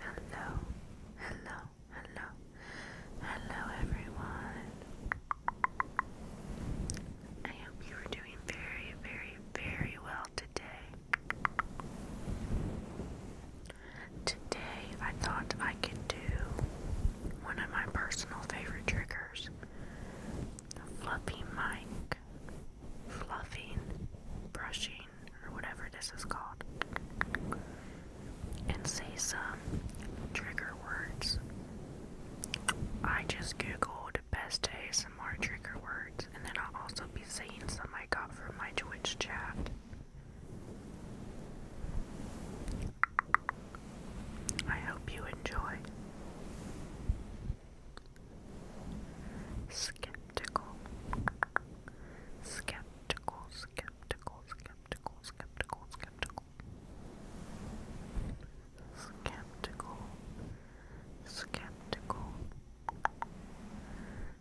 Hello, hello, hello, hello everyone. I hope you are doing very, very, very well today. Today I thought I could do one of my personal favorite triggers. fluffy mic, fluffing, brushing, or whatever this is called, and say some trigger words. I just googled best ASMR trigger words, and then I'll also be saying some I got from my Twitch chat. I hope you enjoy. Skeptical. Skeptical, skeptical, skeptical, skeptical, skeptical. Skeptical. Skeptical.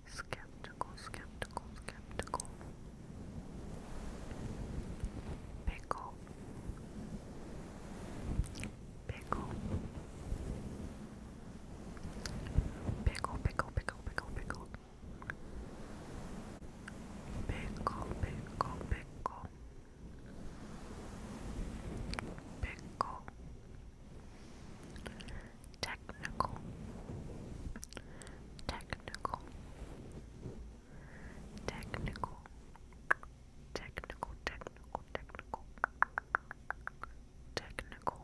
Skeptical, skeptical, skeptical. Pickle. Pickle. Pickle, pickle, pickle, pickle, pickle. Pickle, pickle, pickle. Pickle. Technical. Technical. Technical. Technical, technical, technical technical,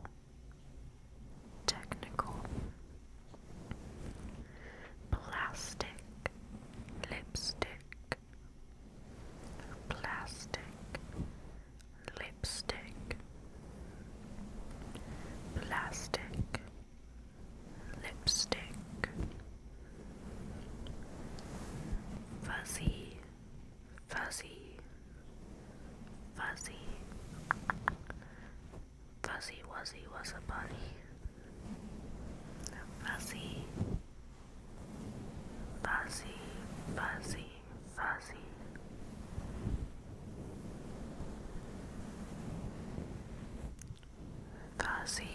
technical, plastic, lipstick, plastic, lipstick, plastic, lipstick, fuzzy. Fuzzy, Fuzzy, Fuzzy Wuzzy was a bunny. Fuzzy, Fuzzy, Fuzzy, Fuzzy. Fuzzy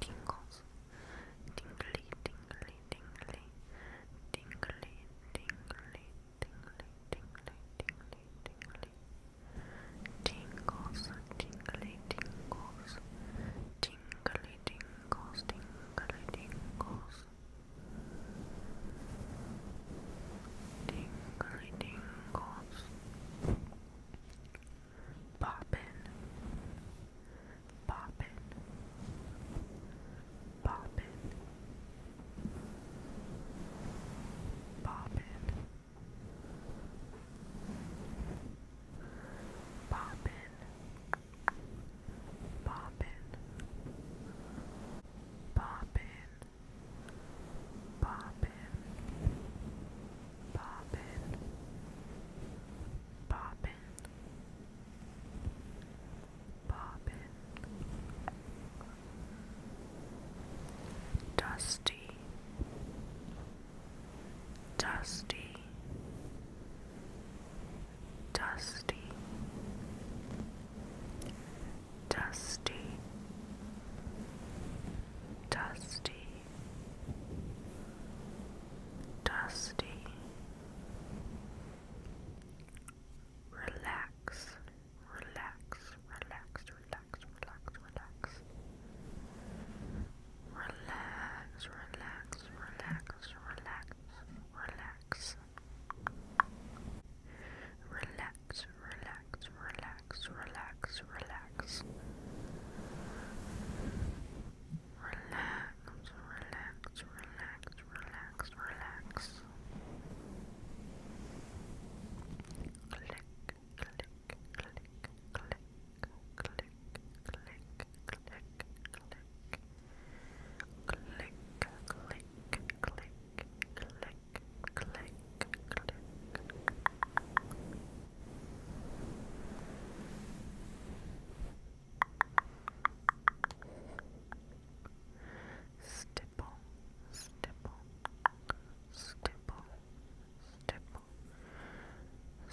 tingles, tingly, tingly, tingly, tingly, tingly, tingly, tingly, tingly, tingly, tingles, tingly, tingles, tingly, tingles, tingly, tingles. Tingly tingles, Boppin, boppin, boppin, boppin, boppin, boppin, Bobbin, bobbin, bobbin, bobbin. Dusty, dusty, dusty, dusty dusty, dusty, dusty. Relax, relax, relax, relax, relax, relax. Relax, relax, relax, relax, relax. Relax, relax, relax, relax, relax, relax. Relax, relax, relax, relax, relax. Click, click, click, click, click, click, click, click. Click, click, click, click, click, click. Stipple, stipple, stipple, stipple,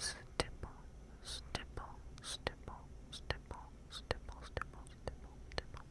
stipple, stipple, stipple, stipple, stipple, stipple, stipple, stipple.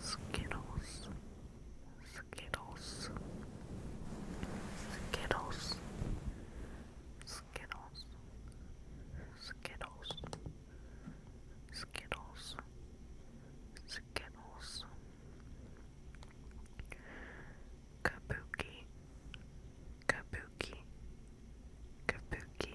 Skittles, Skittles, Skittles, Skittles, Skittles, Skittles, Skittles, Kabuki, Kabuki, Kabuki,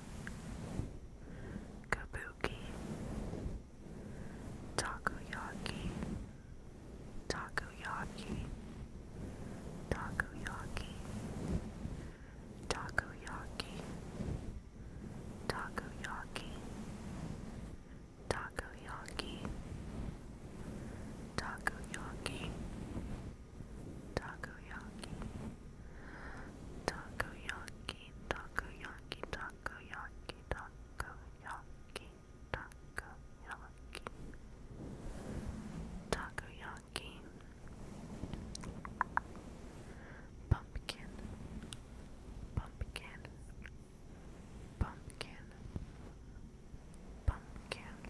kabuki, takoyaki, takoyaki, takoyaki, takoyaki, takoyaki, takoyaki, takoyaki, takoyaki, takoyaki, takoyaki, takoyaki, takoyaki, takoyaki, takoyaki, pumpkin, pumpkin, pumpkin, pumpkin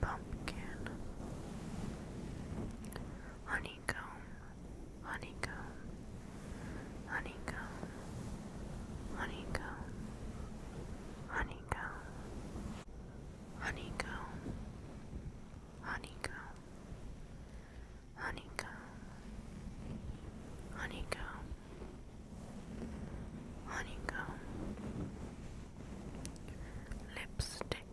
pumpkin, honeycomb, honeycomb, honeycomb, honeycomb, honeycomb, honeycomb, honeycomb, honeycomb, honeycomb, lipstick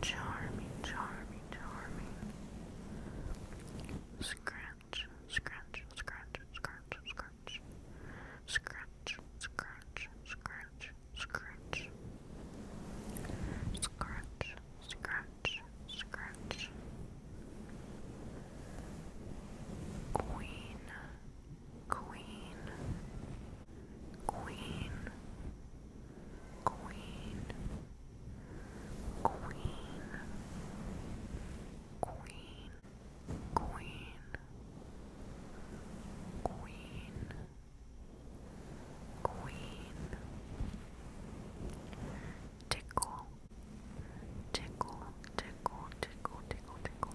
Charming, charming, charming. Scratch, scratch, scratch, scratch, scratch. Scratch, scratch, scratch, scratch. Scratch, scratch, scratch. Queen, Queen, Queen, Queen, Queen, Queen, Queen, Queen, Queen, Tickle, Tickle, Tickle, Tickle, Tickle, Tickle.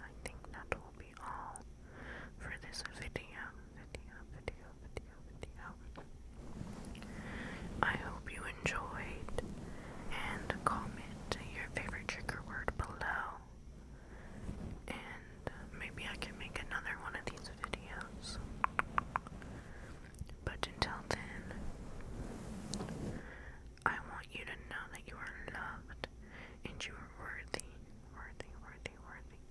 I think that will be all for this video. I hope you enjoyed and comment your favorite trigger word below. And maybe I can make another one of these videos. But until then, I want you to know that you are loved and you are worthy, worthy, worthy, worthy.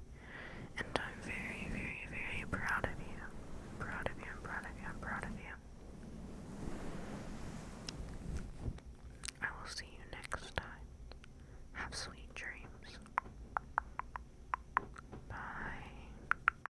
And I'm very, very, very proud of you. I'm proud of you, I'm proud of you, I'm proud of you. I will see you next time. Have sweet dreams. Bye.